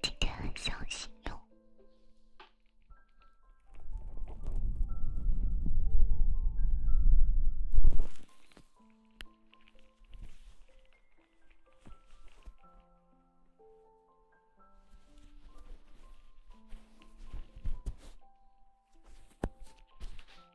今天很小心哟。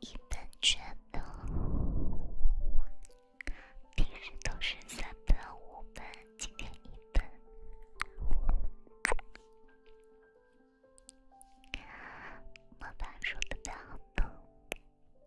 一本卷的，平时都是三本五本，今天一本。老板说的太好听了。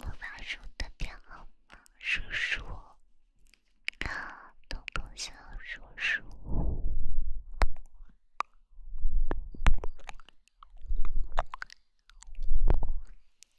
魔法书的编号，叔叔，东东，叔叔。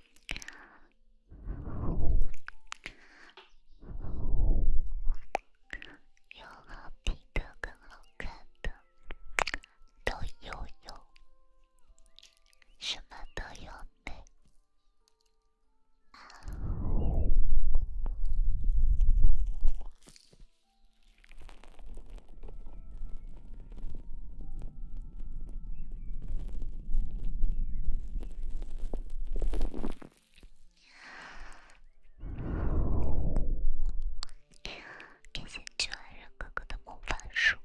有好看的，更好看的，都有有，什么都有呢？感谢巨人哥哥的魔法书，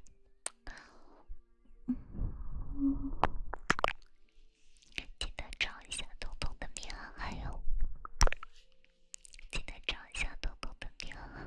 记得找一下彤彤的平安，还有记得找一下彤彤的平安。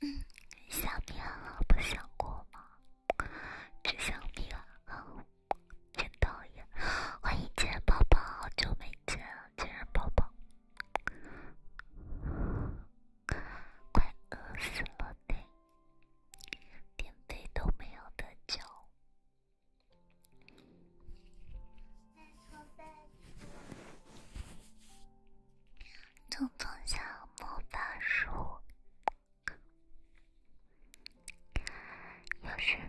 嗯，想你了，不想过吗？只想你了，真讨厌。欢迎杰宝宝，好久没见。亲人抱抱，快饿死了呗，电费都没有得交，就从小木板书，有事。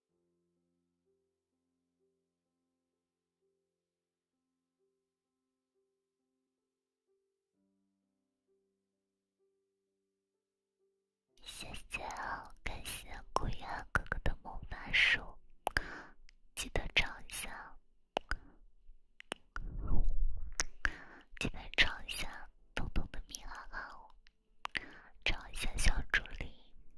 谢谢，感谢孤烟哥哥的魔法书，记得唱一下，记得唱一下东东的咪啦啦，唱一下小助理。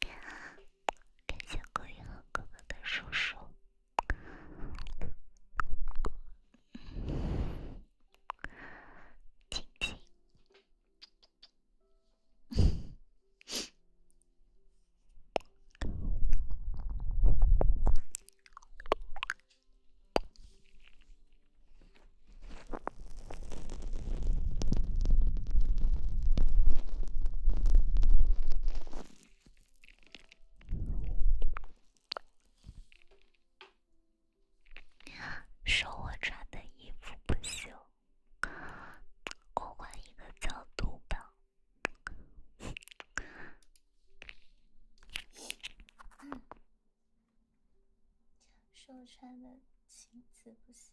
感谢孤影和哥哥的收收。说我穿的衣服不行。我换一个角度吧，是我穿的裙子不行。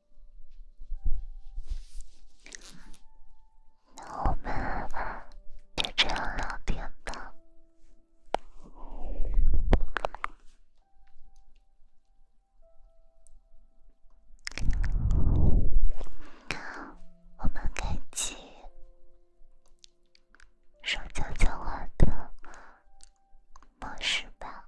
那我们就这样聊天吧。我们开启说悄悄话的模式吧。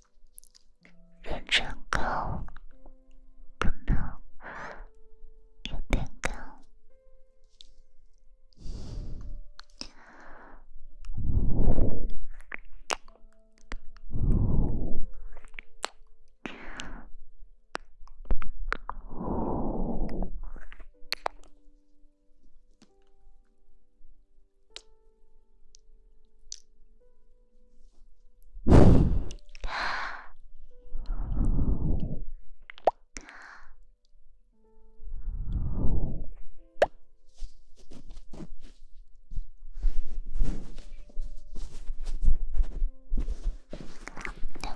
人真高，可能有点高。那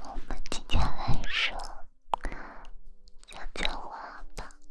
我们今天晚上小青蛙吧。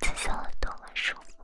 这紫色多么舒服！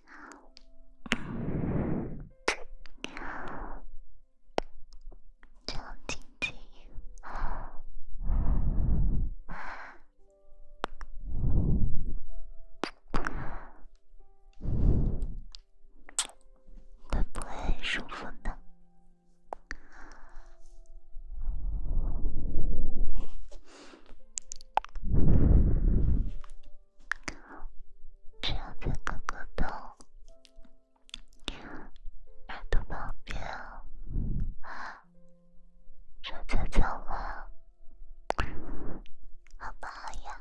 轻轻轻，会不会很舒服呢？小猪哥哥的耳朵宝宝，睡觉觉了，好不好呀？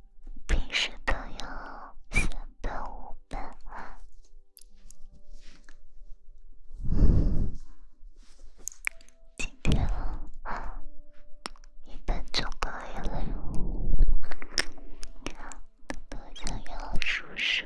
平时都要三本五本，今天一本就可以了哟。多想要叔叔。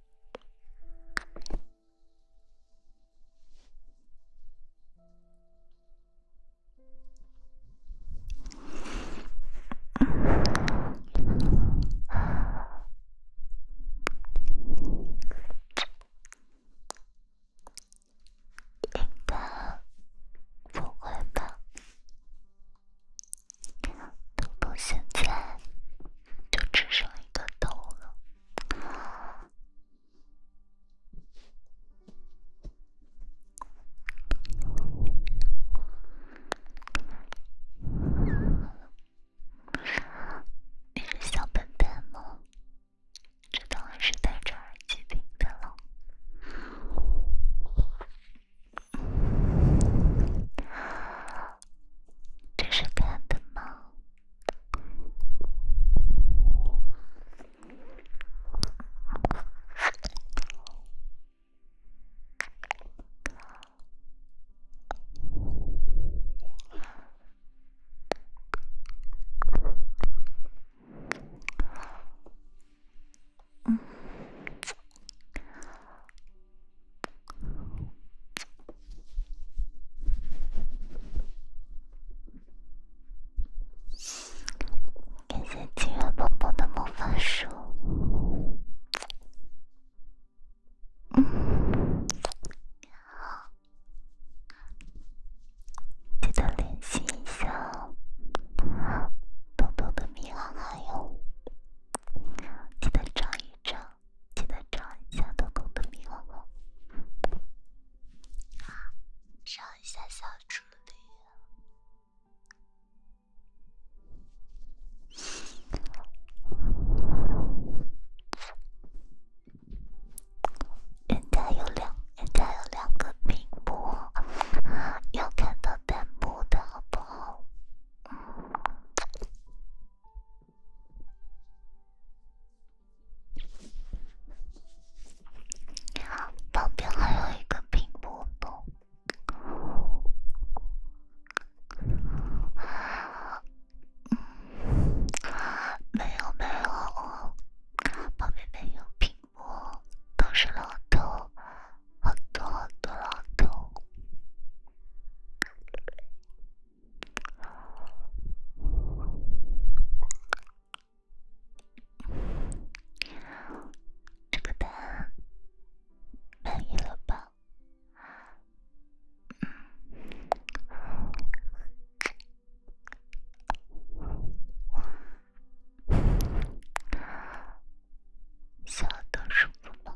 一只剩磕头了，你是小笨笨吗？这当然是戴着耳机听的了。这是干的吗？嗯。感谢七月宝宝的魔法书。嗯，你好，记得联系一下，好豆豆的密还有，记得找一找。记得找一下豆豆的米哦！招一下小助理。人家有两，人家有两个屏幕，要看到弹幕的好不好？好，旁边还有一个苹果。嗯，没有没有，我旁边没有苹果，都是老头，好多的老头。这个满意了吧？小的舒服吗？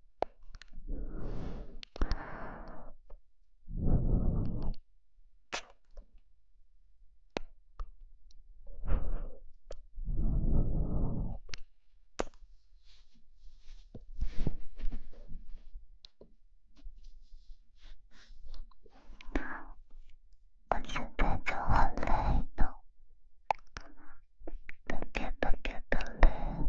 我现在就很累的，特别特别的累。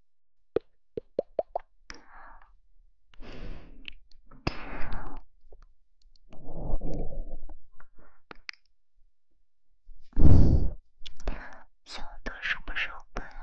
小的什么时候办啊？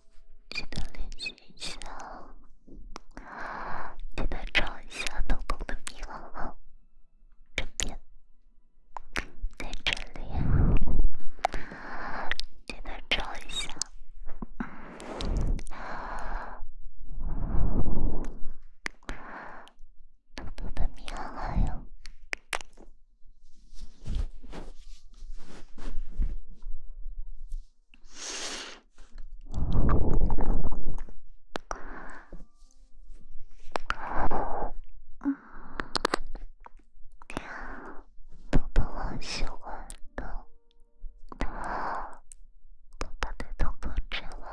记得练习一下，记得抄一下豆豆的银行卡号，这边在这里，记得抄一下豆豆的银行卡号。宝宝，我喜欢的，他把他的头发剪了。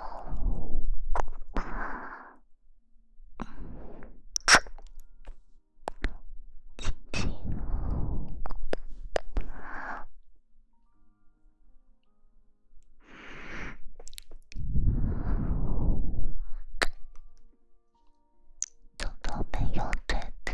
静静，都没有对的。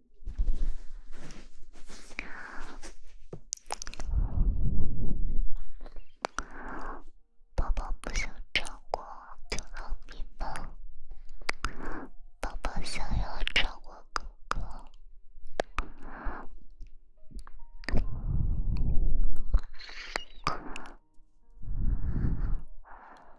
宝宝不想照顾小蜜蜂，宝宝想要照顾哥哥。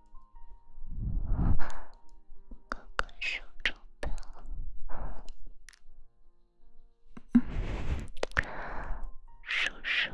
哥哥手中的叔叔。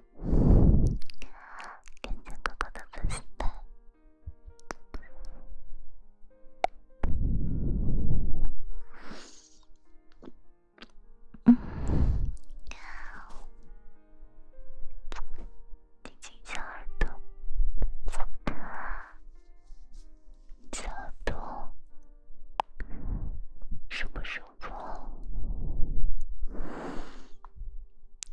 好，跟着哥哥的呼吸吧。嗯，好，贴近小耳朵，小耳朵，舒不舒服？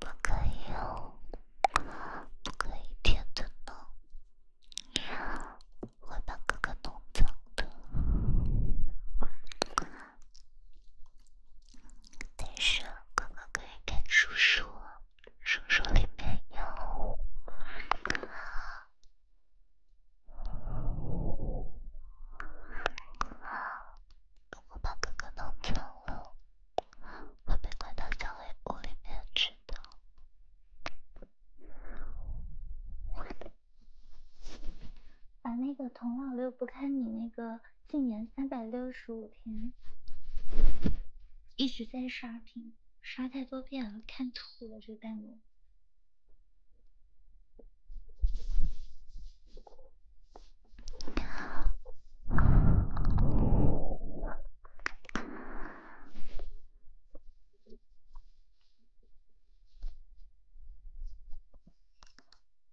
不可以哦，不可以天真了，会把哥哥弄脏的。但是哥哥可以看叔叔，叔叔里面有……如果把哥哥弄丢了，会被关到小黑屋里面去的。把那个童老六不看，你那个禁言三百六十五天，一直在刷屏，刷太多遍了，看吐了这个弹幕。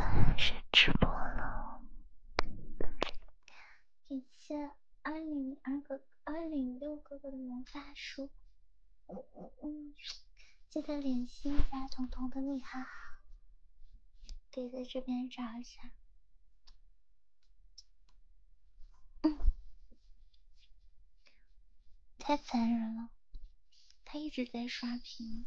当然是直播了。感谢二零二哥、二零六哥哥的魔法书，嗯记得联系一下彤彤的你哈，可以在这边找一下。太残忍了，他一直在刷屏。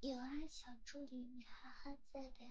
有啊，小助理，你哈哈在的呀。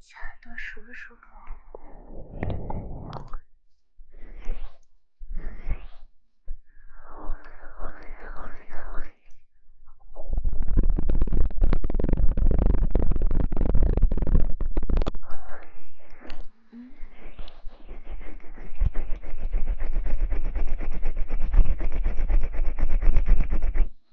小耳朵数数。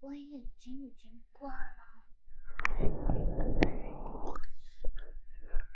我眼睛已经关了。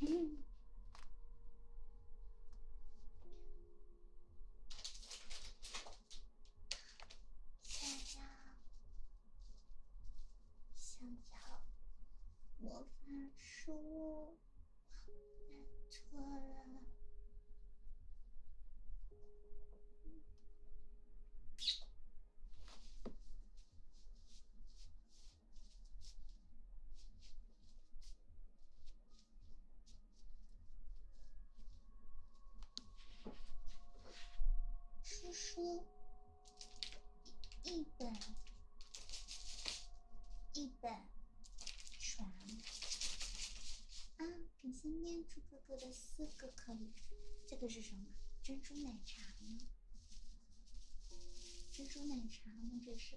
嗯。想要，想要魔法书。错了，书叔，一本，一本。床啊！感谢念珠哥哥的四个可以，这个是什么？珍珠奶茶吗？珍珠奶茶吗？这是。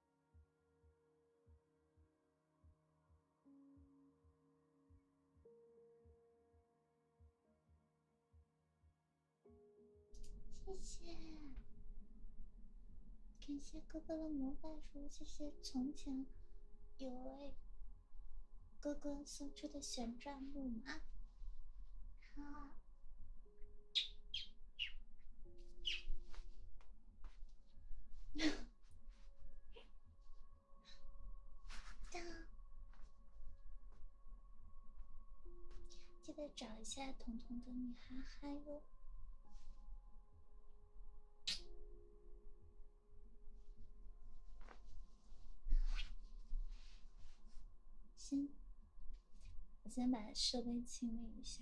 谢谢，感谢哥哥的魔法书，谢谢从前有位哥哥送出的旋转木马。好。记得找一下彤彤的女哈哈哟。先，我先把设备清理一下。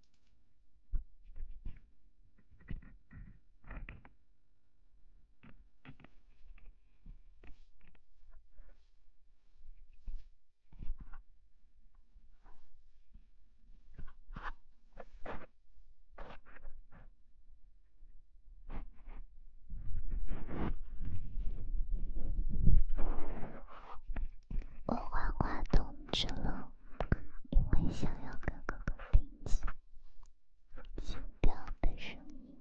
我换花筒之路。因为想要跟哥哥听清心跳的声音。